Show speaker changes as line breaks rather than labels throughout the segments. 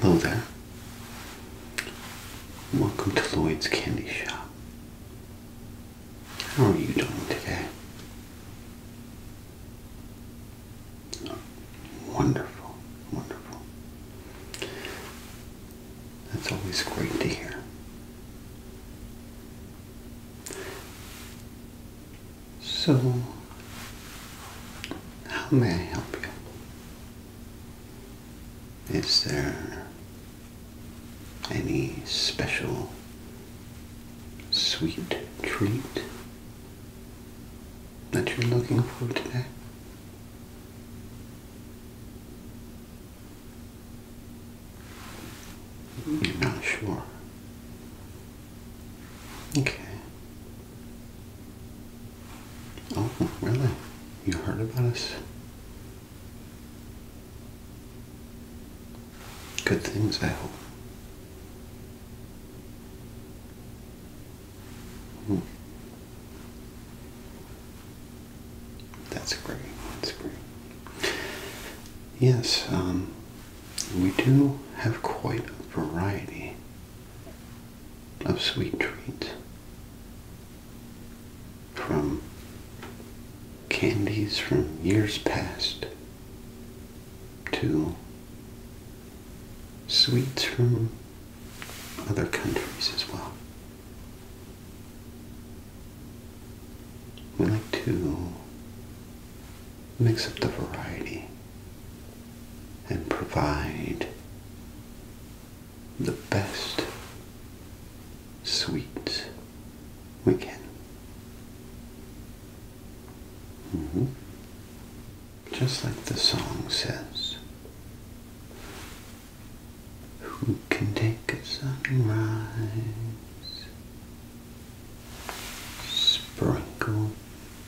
Hello there. Welcome to Lloyd's Candy Shop. How are you doing today? Wonderful, wonderful. That's always great to hear. So, how may I help you? Is there any special sweet treat that you're looking for today? You're not sure. Okay. Oh, really? You heard about us? Good things, I hope. Hmm. That's great. That's great. Yes, um, we do have quite a variety of sweet treats from candies from years past to sweets from other countries as well. We like to mix up the variety and provide the best sweets we can. Mm-hmm. Just like the song says, who can take a sunrise? Sprinkle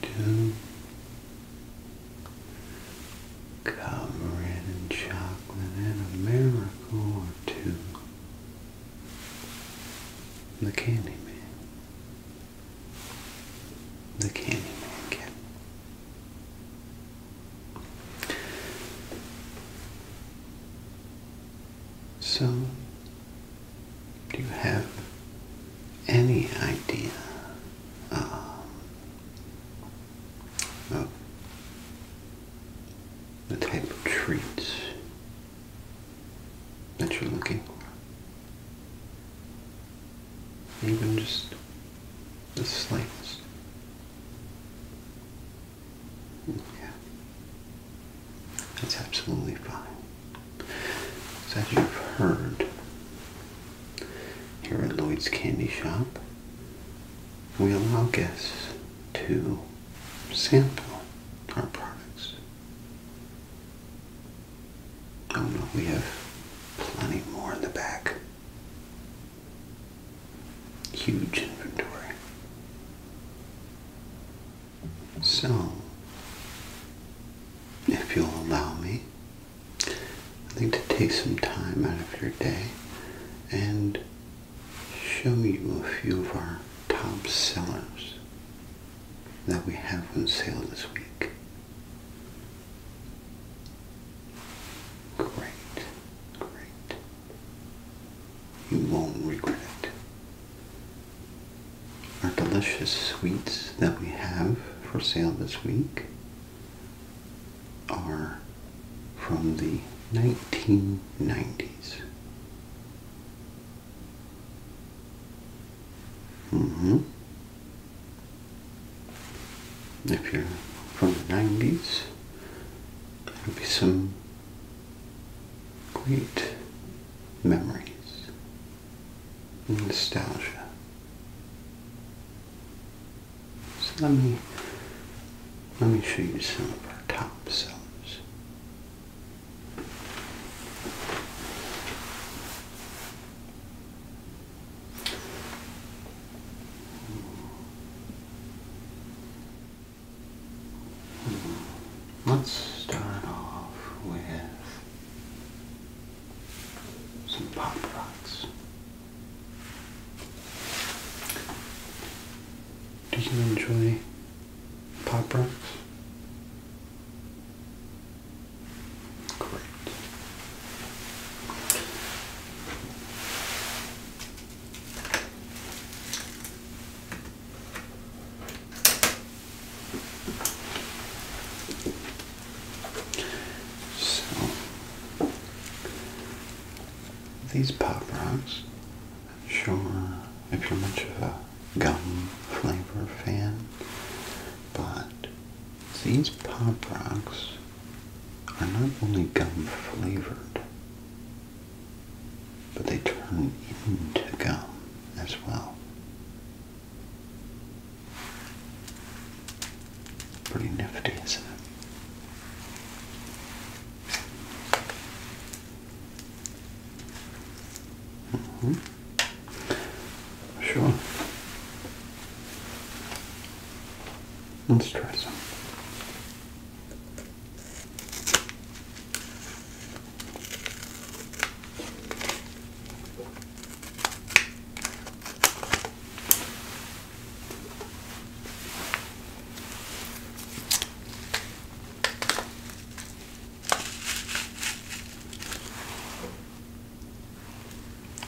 dew, cover in chocolate and a miracle or two. The candy man, The Candyman Cat. So, do you have any idea um, of the type of treats that you're looking for? Even just the slings. Yeah. That's absolutely fine. as you've heard, here at Lloyd's Candy Shop, we allow guests to sample our products. Oh no, we have plenty more in the back. Huge inventory. So, if you'll allow me, I'd to take some time out of your day and show you a few of our top sellers that we have on sale this week. Great, great. You won't regret it. Our delicious sweets that we have for sale this week are from the 1990s. hmm if you're from the 90s, there'll be some great memories nostalgia. So let me let me show you some of our top sellers. Hmm. Let's start off with some pop rocks. Do you enjoy pop rocks? So these pop rocks, I'm sure if you're much of a gum flavor fan, but these pop rocks are not only gum flavored, but they turn into gum as well. Pretty nifty, isn't it? -hmm. Sure. Let's try some.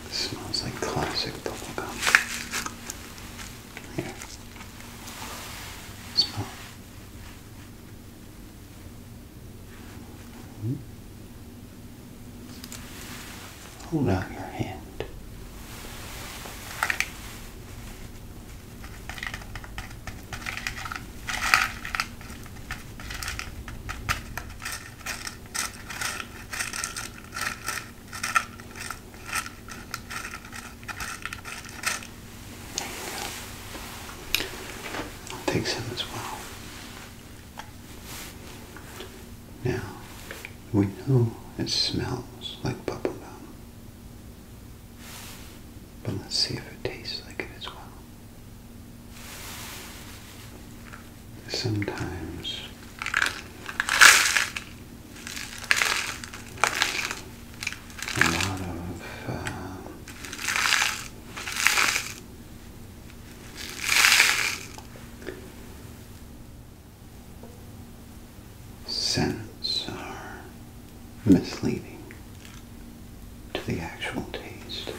It smells like classic bubblegum. Here. Smell. Hmm. Hold out your hand take some as well. Now, we know it smells like bubble gum, But let's see if it tastes like it as well sometimes a lot of uh, scents are misleading to the actual taste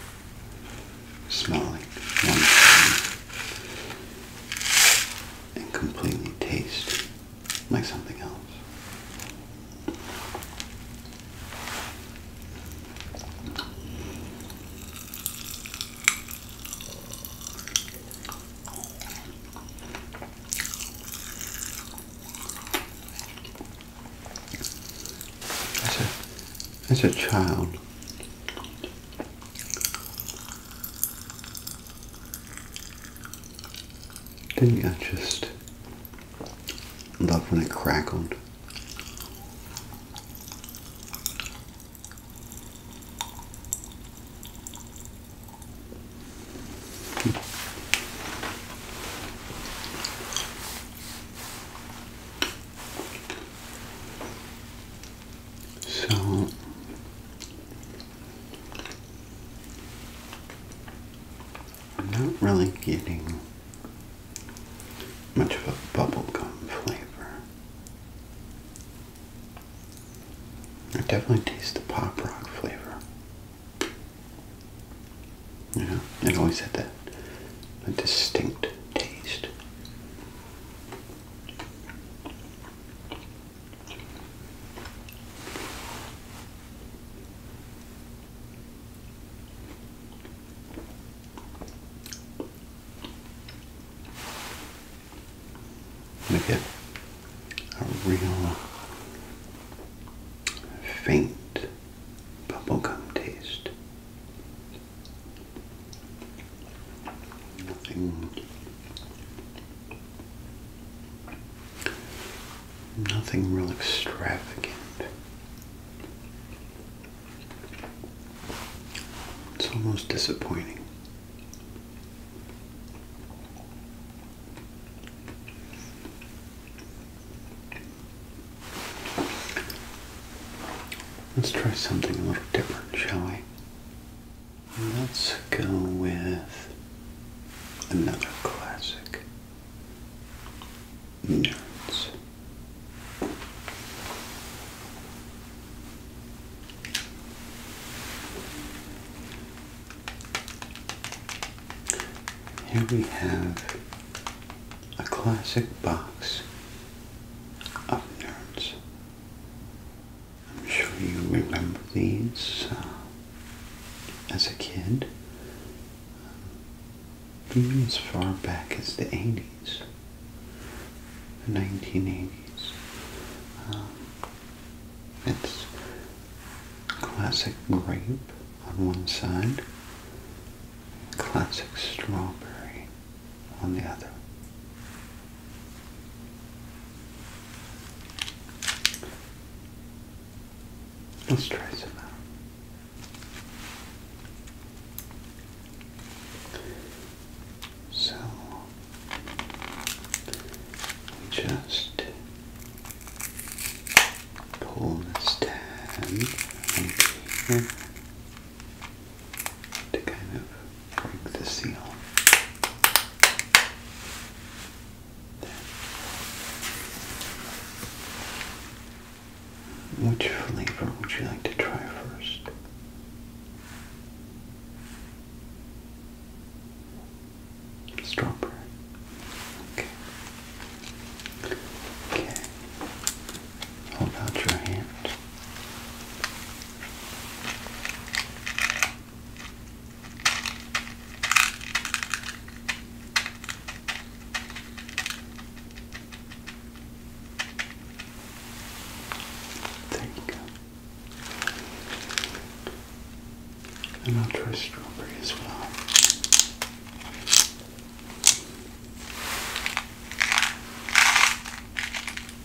smelling one thing and completely taste like something else. As a, as a child, didn't I just love when it crackled? So I'm not really getting much of a bubblegum flavor. I definitely taste the pop rock flavor. You it always had that a distinct taste. We get a real faint bubblegum taste Nothing. Nothing real extravagant. It's almost disappointing. Let's try something a little different, shall we? Let's go with another classic. Nerds. Here we have a classic box of nerds. I'm sure you remember these uh, as a kid. even as far back as the 80s, the 1980s. Um, it's classic grape on one side, classic strawberry on the other. Let's try some out. So just pull this tab to kind of break the seal. There. Which flavor would you like to try first? Strawberry. Okay. Okay. Hold out your hand. There you go. And I'll try strawberry as well.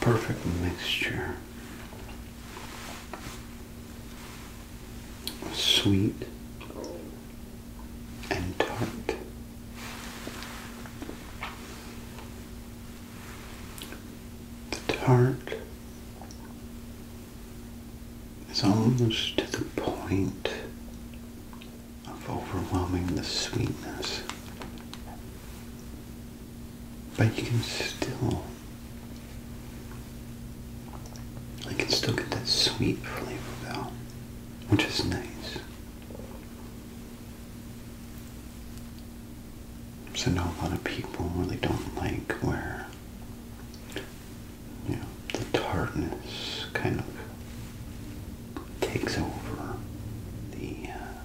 Perfect mixture sweet and tart. The tart it's almost to the point of overwhelming the sweetness. But you can still, I can still get that sweet flavor though, which is nice. So now a lot of people really don't like where you the tartness kind of takes over the uh,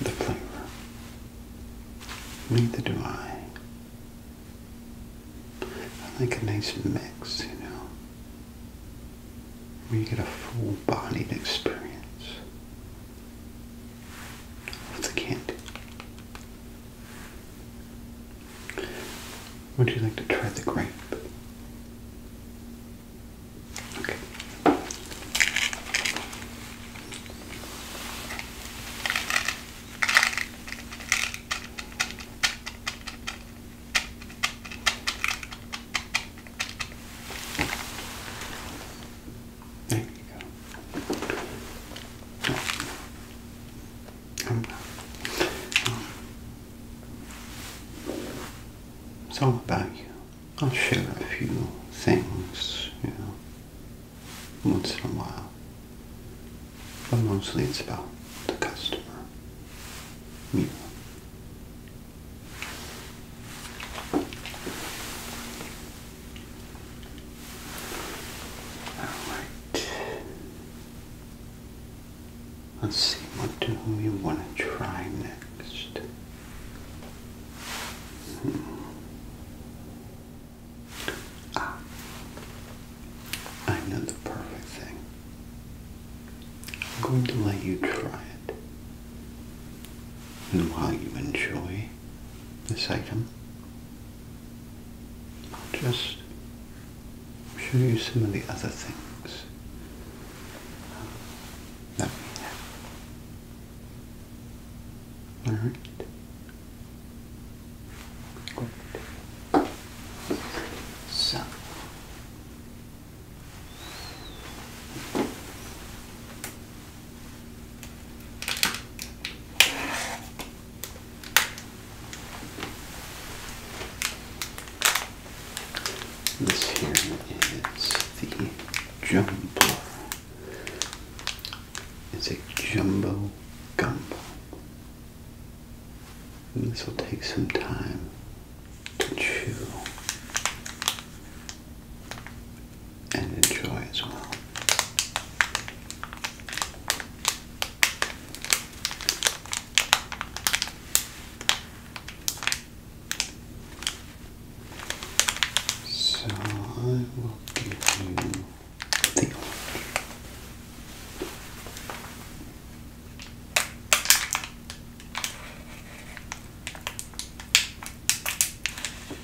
the flavor. Neither do I. I like a nice mix, you know, where you get a full-bodied experience What's a candy. Would you like to try the grape? Okay. There you go. Um, it's all about you. I'll share a few things, you know, once in a while. But mostly it's about the customer. You Alright. Let's see what do we want to try next. Hmm. Ah. I know the perfect thing. I'm going to let you try it. And while you enjoy this item, I'll just show you some of the other things that we have. All right. Good. So. This here is the jumbo. It's a jumbo gumbo. this will take some time to chew and enjoy as well. So I will give you the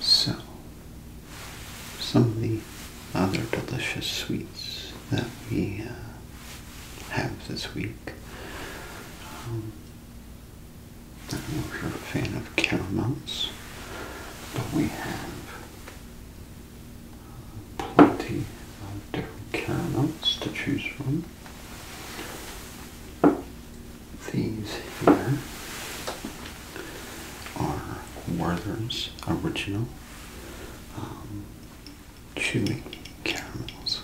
So, some of the other delicious sweets that we uh, have this week. Um, I know if you're a fan of caramels, but we have uh, plenty of different caramels to choose from. These here are Werther's original chewing um, chewy caramels.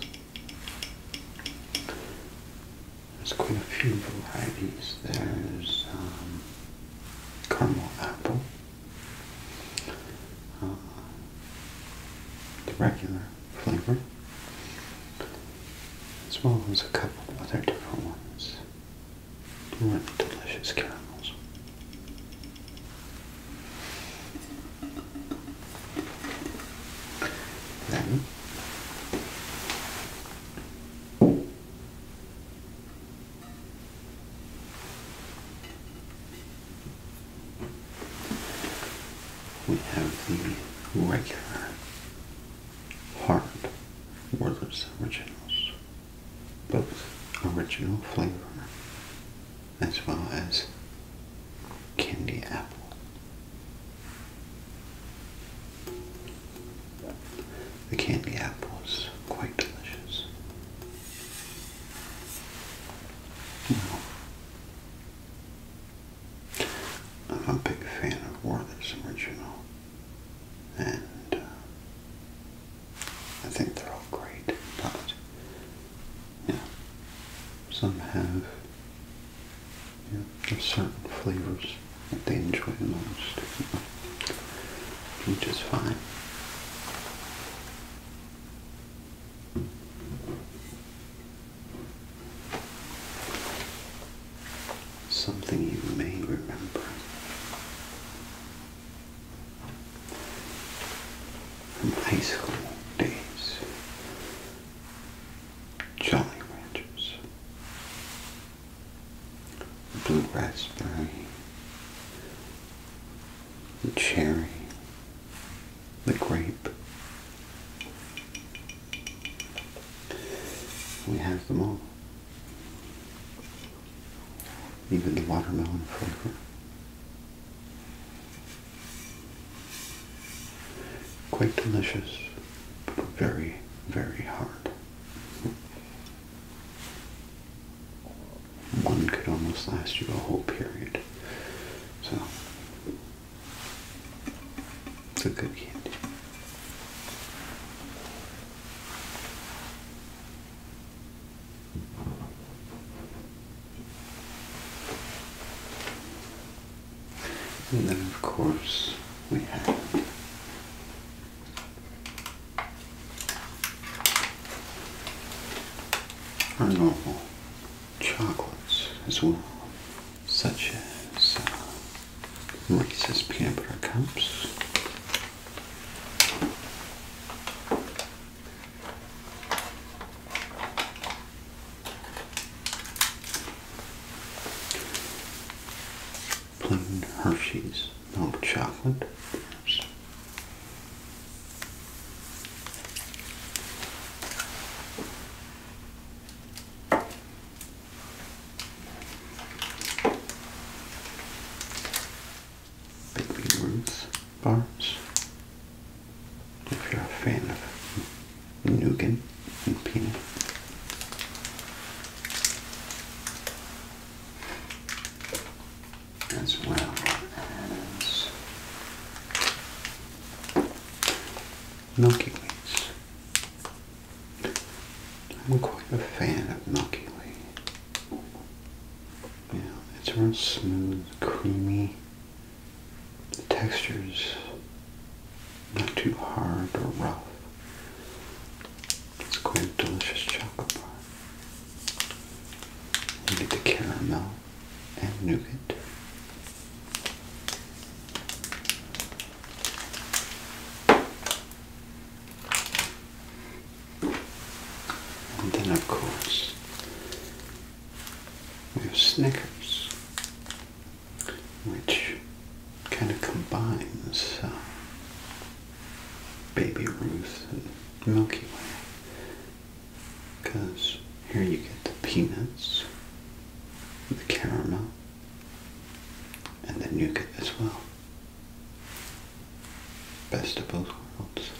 There's quite a few varieties. There's um, caramel apple, uh, the regular flavor, as well as a couple other different ones. Really delicious caramels. Then we have the regular hard Werther's Originals, but original flavor as well as candy apple. The candy apple is quite delicious. I'm a big fan of Werther's original, and uh, I think they're all great, but you some have you certain flavors that they enjoy the most, which is fine. Something you may remember. From high school days. Jolly Ranchers. Blue raspberry. Cherry the grape. We have them all. Even the watermelon flavor. Quite delicious, but very, very hard. One could almost last you a whole period. So it's a good candy. And then, of course, we have our normal chocolates as well, such as uh, Reese's peanut butter cups. Plain Hershey's milk chocolate, perhaps. Baby Ruth bars. If you're a fan of nougat and peanut. As well as Milky Ways. I'm quite a fan of Milky Ways. Yeah, it's real smooth, creamy. The texture's not too hard or rough. It's quite a delicious chocolate bar. You get the caramel and nougat. And then, of course, we have Snickers, which kind of combines uh, Baby Ruth and Milky Way. Because here you get the peanuts, with caramel and the nougat as well. Best of both worlds.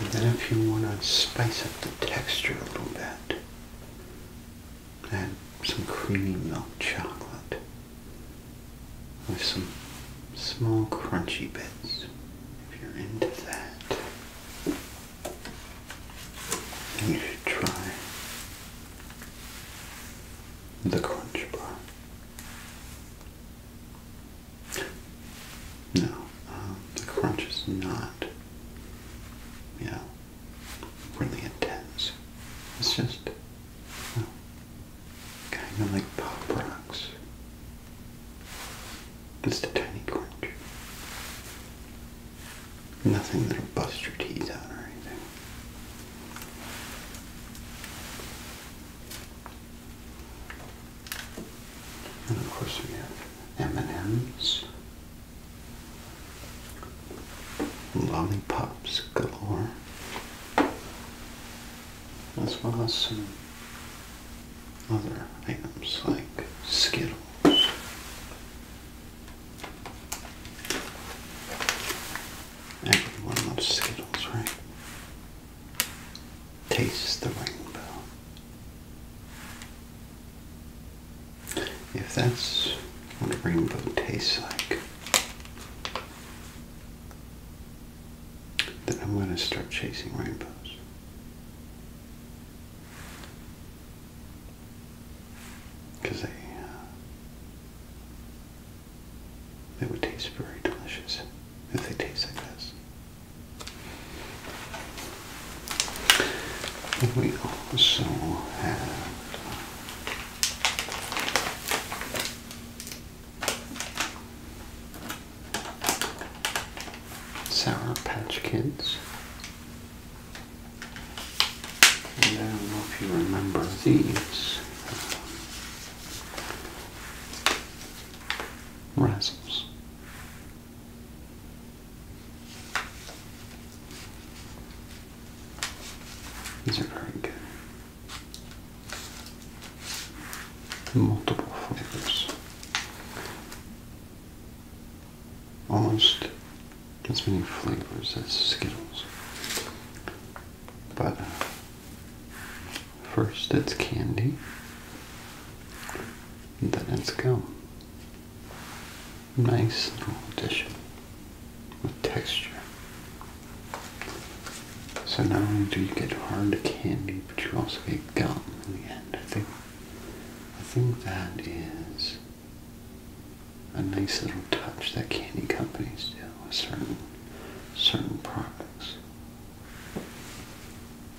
And then if you want to spice up the texture a little bit, add some creamy milk chocolate with some small crunchy bits if you're into that. You should try the crunch bar. No, um, the crunch is not, you really intense. It's just, well, Kind of like pop rocks. It's the tiny crunch. Nothing that'll bust your teeth out or anything. And of course we have M&M's. Lollipops galore as well as some other items like Skittles. Everyone loves Skittles, right? Taste the rainbow. If that's what a rainbow tastes like, then I'm going to start chasing rainbows. Because they, uh, they would taste very delicious if they taste like this. we also have Sour Patch Kids. I don't know if you remember these. Razzles. These are very good multiple flavors. Almost as many flavors as Skittles. But first it's candy, then it's gum. Nice little addition with texture. So not only do you get hard candy, but you also get gum in the end. I think I think that is a nice little touch that candy companies do with certain certain products.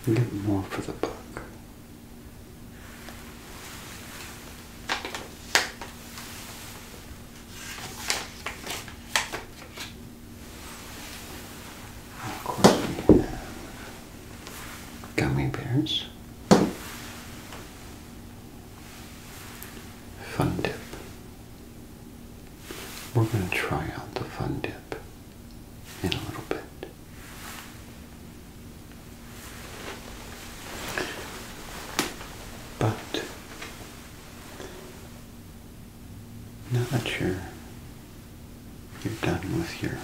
You get more for the buck we gummy bears. Fun dip. We're going to try out the fun dip in a little bit. But now that you're you're done with your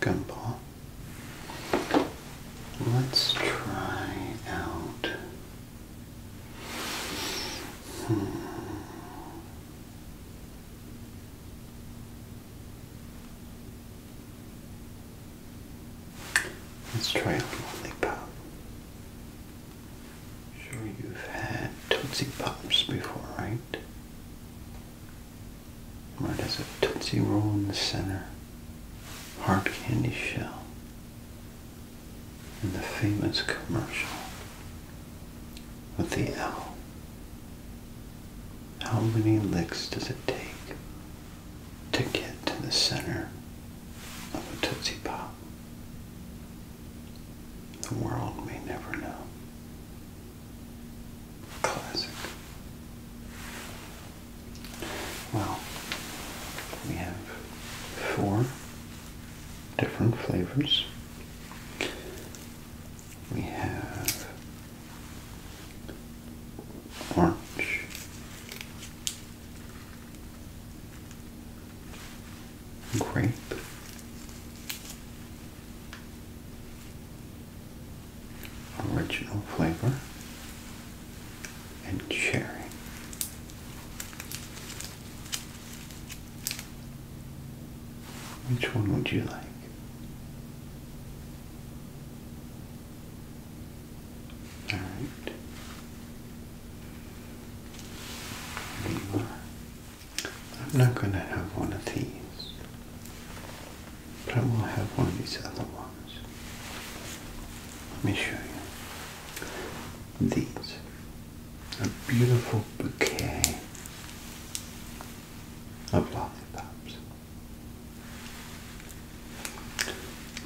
gumball, let's try out. Hmm. Let's try a lollipop. Sure you've had Tootsie Pops before, right? Right as a Tootsie Roll in the center, hard candy shell, in the famous commercial with the L. How many licks does it take to get to the center of a Tootsie Pop? The world may never know. Classic. Well, we have four different flavors. We have orange, Great. Original flavor and cherry. Which one would you like? All right. I'm not going to have one of these, but I will have one of these other ones. Let me show you. These. A beautiful bouquet of lollipops.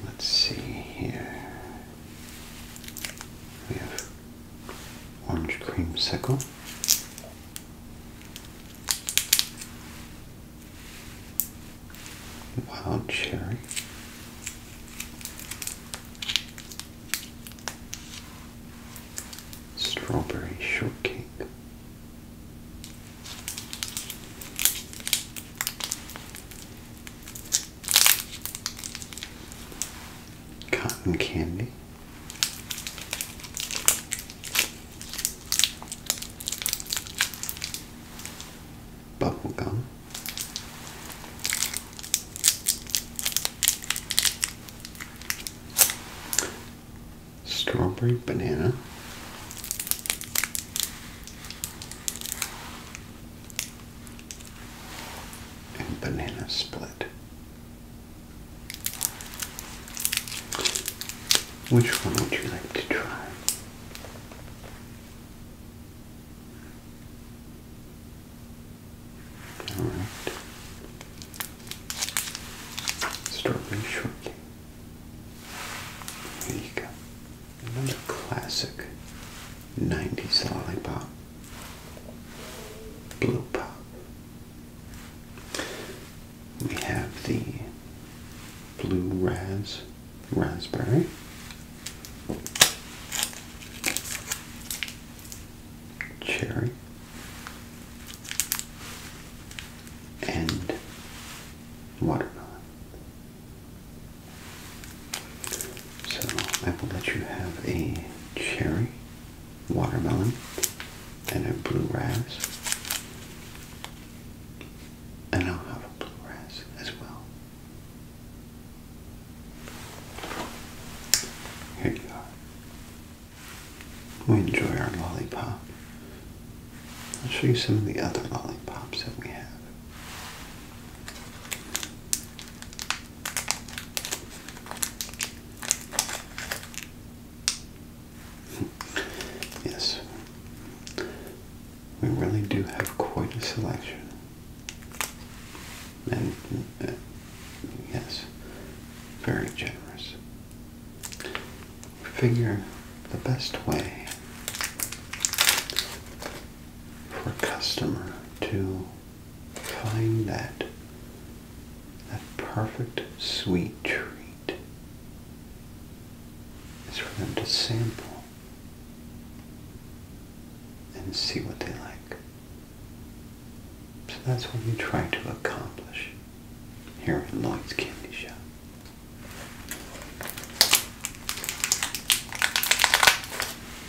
Let's see here. We have orange creamsicle. Wild cherry, strawberry shortcake, cotton candy. bubble gum, Strawberry banana and banana split. Which one would you like to try? All right. Strawberry shortcake. There you go. Another classic 90s lollipop blue pop. We have the blue raz raspberry. Cherry and watermelon. So I will let you have a cherry, watermelon, and a blue razz. And I'll have a blue razz as well. Here you are. We enjoy our lollipop. I'll show you some of the other lollipops that we have. Yes, we really do have quite a selection. And, uh, yes, very generous. Figure the best way for a customer to Find that that perfect sweet treat is for them to sample and see what they like. So that's what we try to accomplish here at Lloyd's Candy Shop.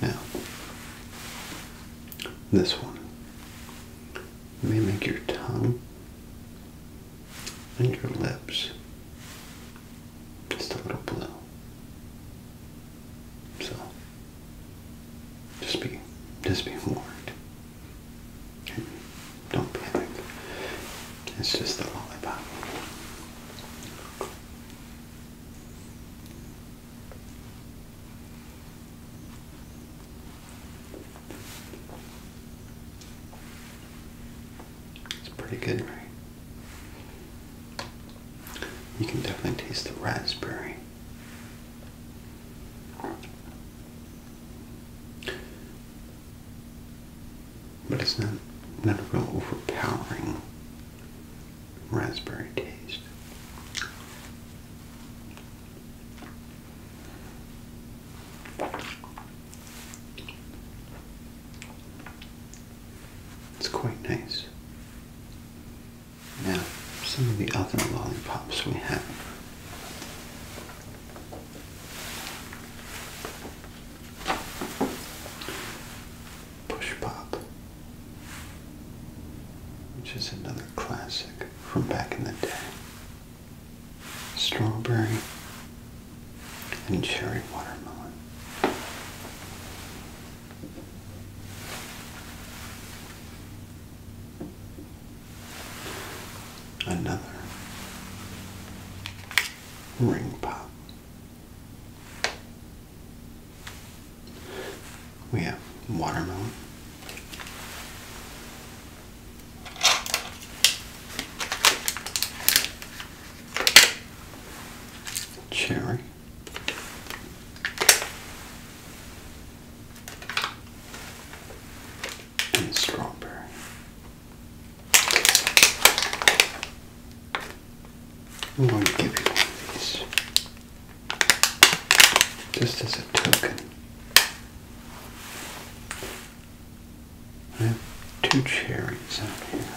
Now, this one may make your tongue and your lips just a little blue. So just be just be warned. Don't panic. It's just a lollipop. It's pretty good, right? You can definitely taste the raspberry. But it's not not a real overpowering raspberry taste. It's quite nice. Now, some of the other lollipops we have Push Pop, which is another classic from back in the day. Strawberry and cherry watermelon another ring pop. We have watermelon. Cherry, and strawberry. I'm going to give you one of these just as a token. I have two cherries out here.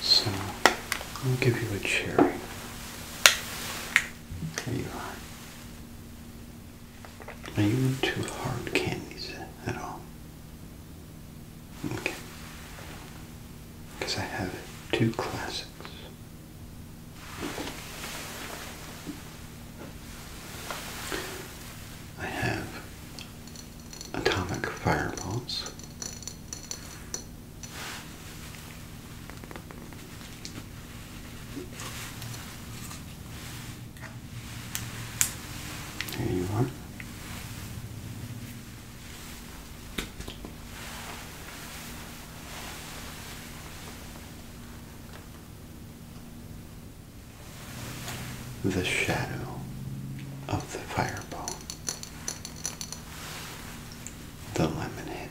So I'll give you a cherry. There you are. Are you into hard candies at all? Okay. Because I have two classics. I have atomic fireballs. There you are. The shadow of the fireball, the lemonade,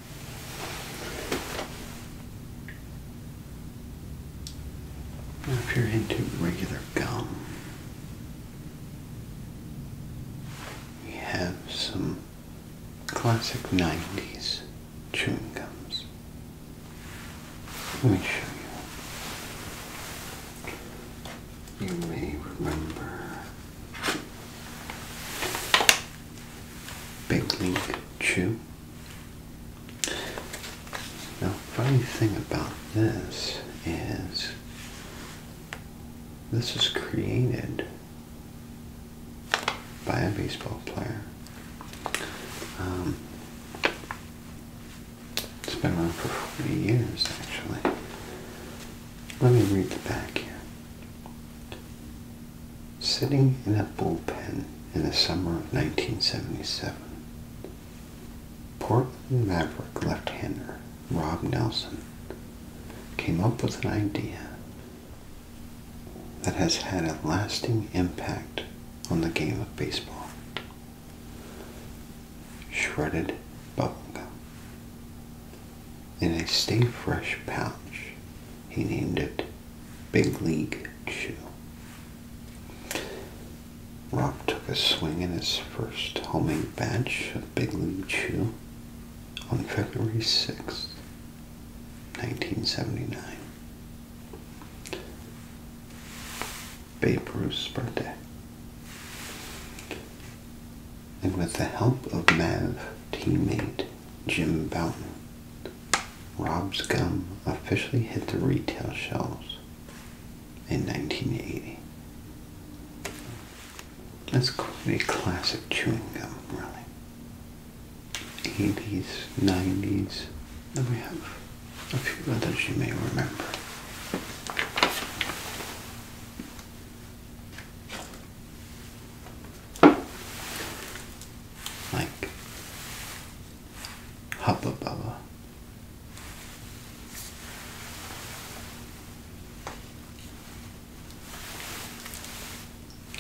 if you're into regular gum, we have some classic 90s chewing gums. Let me show you. You may remember Big Link Chew. Now, funny thing about this is this was created by a baseball player. Um, it's been around for 40 years, actually. Let me read the back here sitting in a bullpen in the summer of 1977. Portland Maverick left-hander Rob Nelson came up with an idea that has had a lasting impact on the game of baseball. Shredded bubblegum. In a stay fresh pouch, he named it Big League Chew. Rob took a swing in his first homemade batch of Big League Chew on February 6th, 1979. Babe Ruth's birthday. And with the help of Mav, teammate Jim Bouton. Rob's Gum officially hit the retail shelves in 1980. That's quite a classic chewing gum, really. 80s, 90s, then we have a few others you may remember like Hubba Bubba.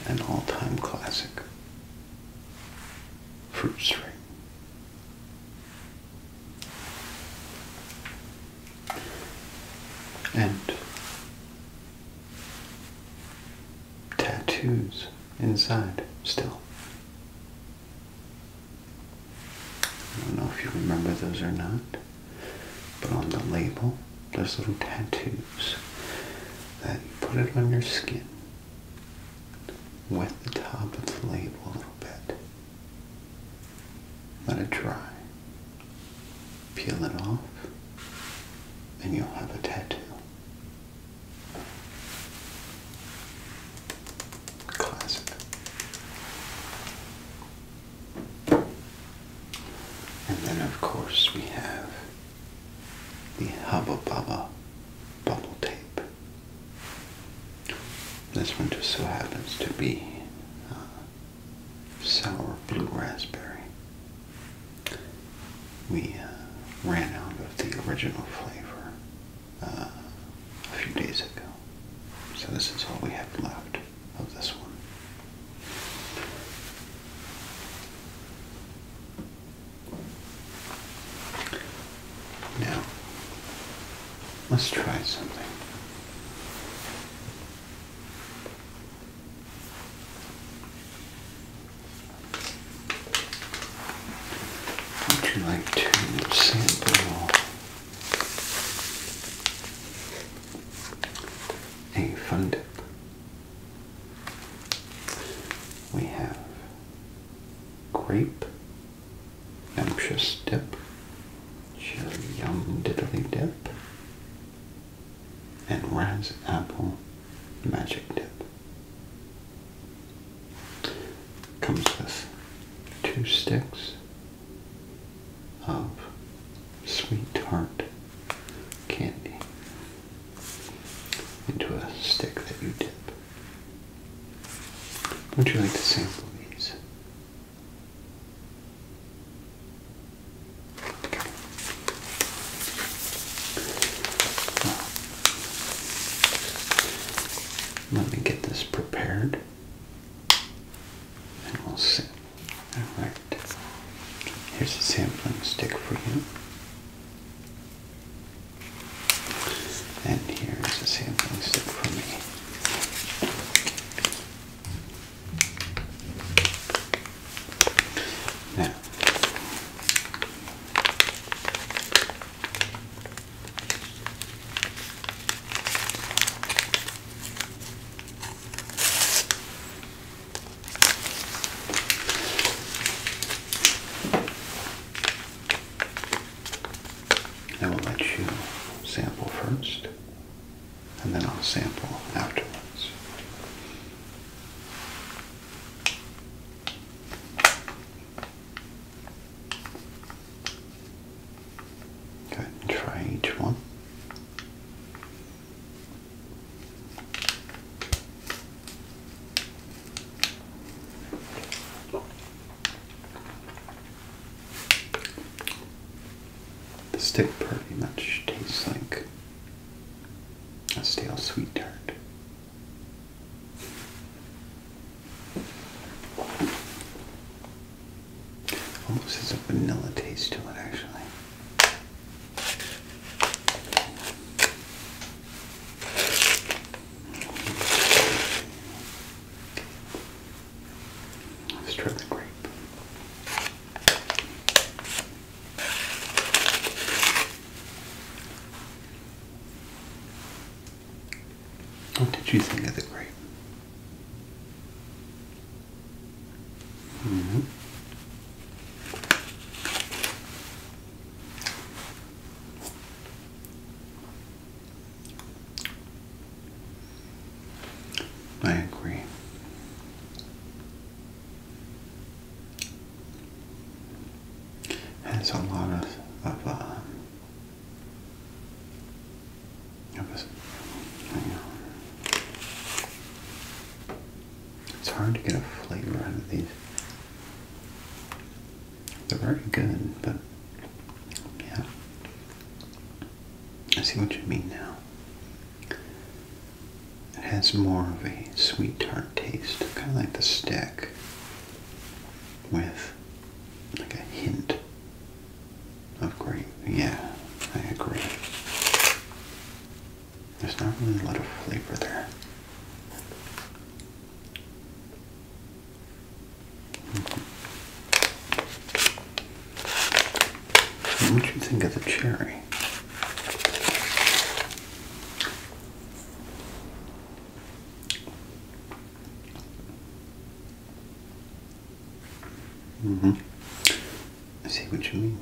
An all time classic. Fruit string. And tattoos inside still. I don't know if you remember those or not, but on the label, there's little tattoos that you put it on your skin. with the top of the label a little bit. Let it dry. Peel it off, and you'll have a tattoo. Classic. And then, of course, we have the Hubba Bubba bubble tape. This one just so happens to be uh, sour blue raspberry. We uh, ran out of the original flavor uh, a few days ago, so this is all we have left of this one. Now, let's try something. Would you like to sample a fun dip? We have grape ambrosia dip, chili yum diddly dip, and Raz Apple Magic Dip. Comes with two sticks of sweet tart candy into a stick that you dip. Would you like to sample these? Let me get this prepared and we'll see. Alright, here's a sampling stick for you. And here's a sampling stick for me. Now, I will let you sample first, and then I'll sample afterwards. Go try each one. The stick pretty much tastes like a stale sweet tart. Almost has a vanilla taste to it, actually. Let's try the grape. What did you think of the grave? -hmm. I agree has a lot of of, uh, It's hard to get a flavor out of these. They're very good, but yeah. I see what you mean now. It has more of a sweet tart taste, kind of like the stick, with like a hint of grape. Yeah, I agree. There's not really a lot of flavor there. What do you think of the cherry? Mm hmm I see what you mean.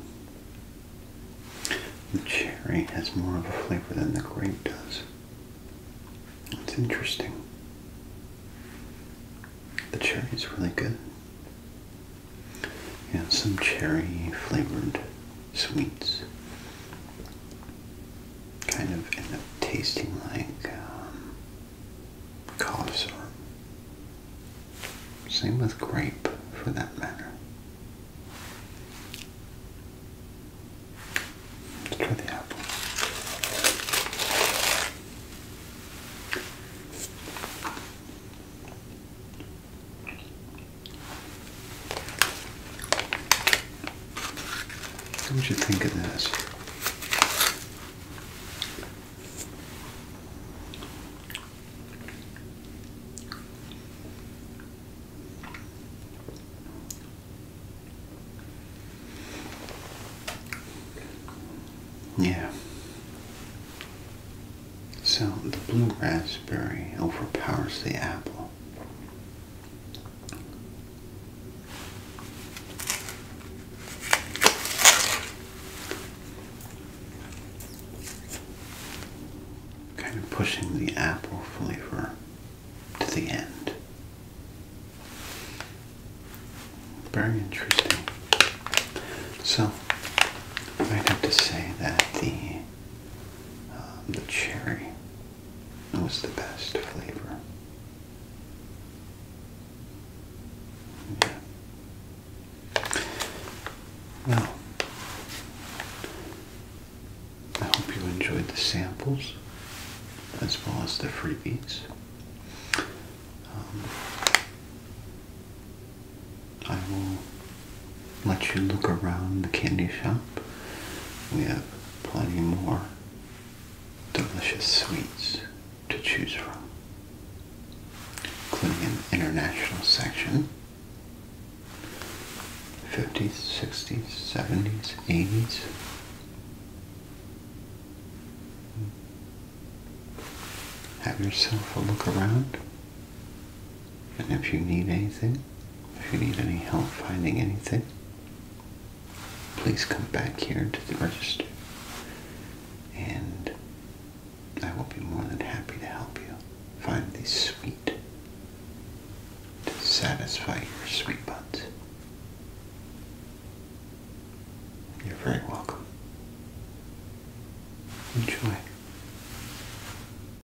The cherry has more of a flavor than the grape does. It's interesting. The cherry is really good. Yeah, some cherry flavored sweets. Kind of end up tasting like um, cough Same with grape, for that matter. try the apple. What would you think of this? Yeah. So the blue raspberry overpowers the apple. Kind of pushing the apple flavor to the end. Very interesting. So, i have to say that the the cherry That was the best flavor. Yeah. Well, I hope you enjoyed the samples as well as the freebies. Um, I will let you look around the candy shop. We have plenty more delicious sweets to choose from, including an international section. 50s, 60s, 70s, 80s. Have yourself a look around. And if you need anything, if you need any help finding anything, please come back here to the register and I will be more than happy to help you find the sweet to satisfy your sweet buds. You're very welcome. Enjoy.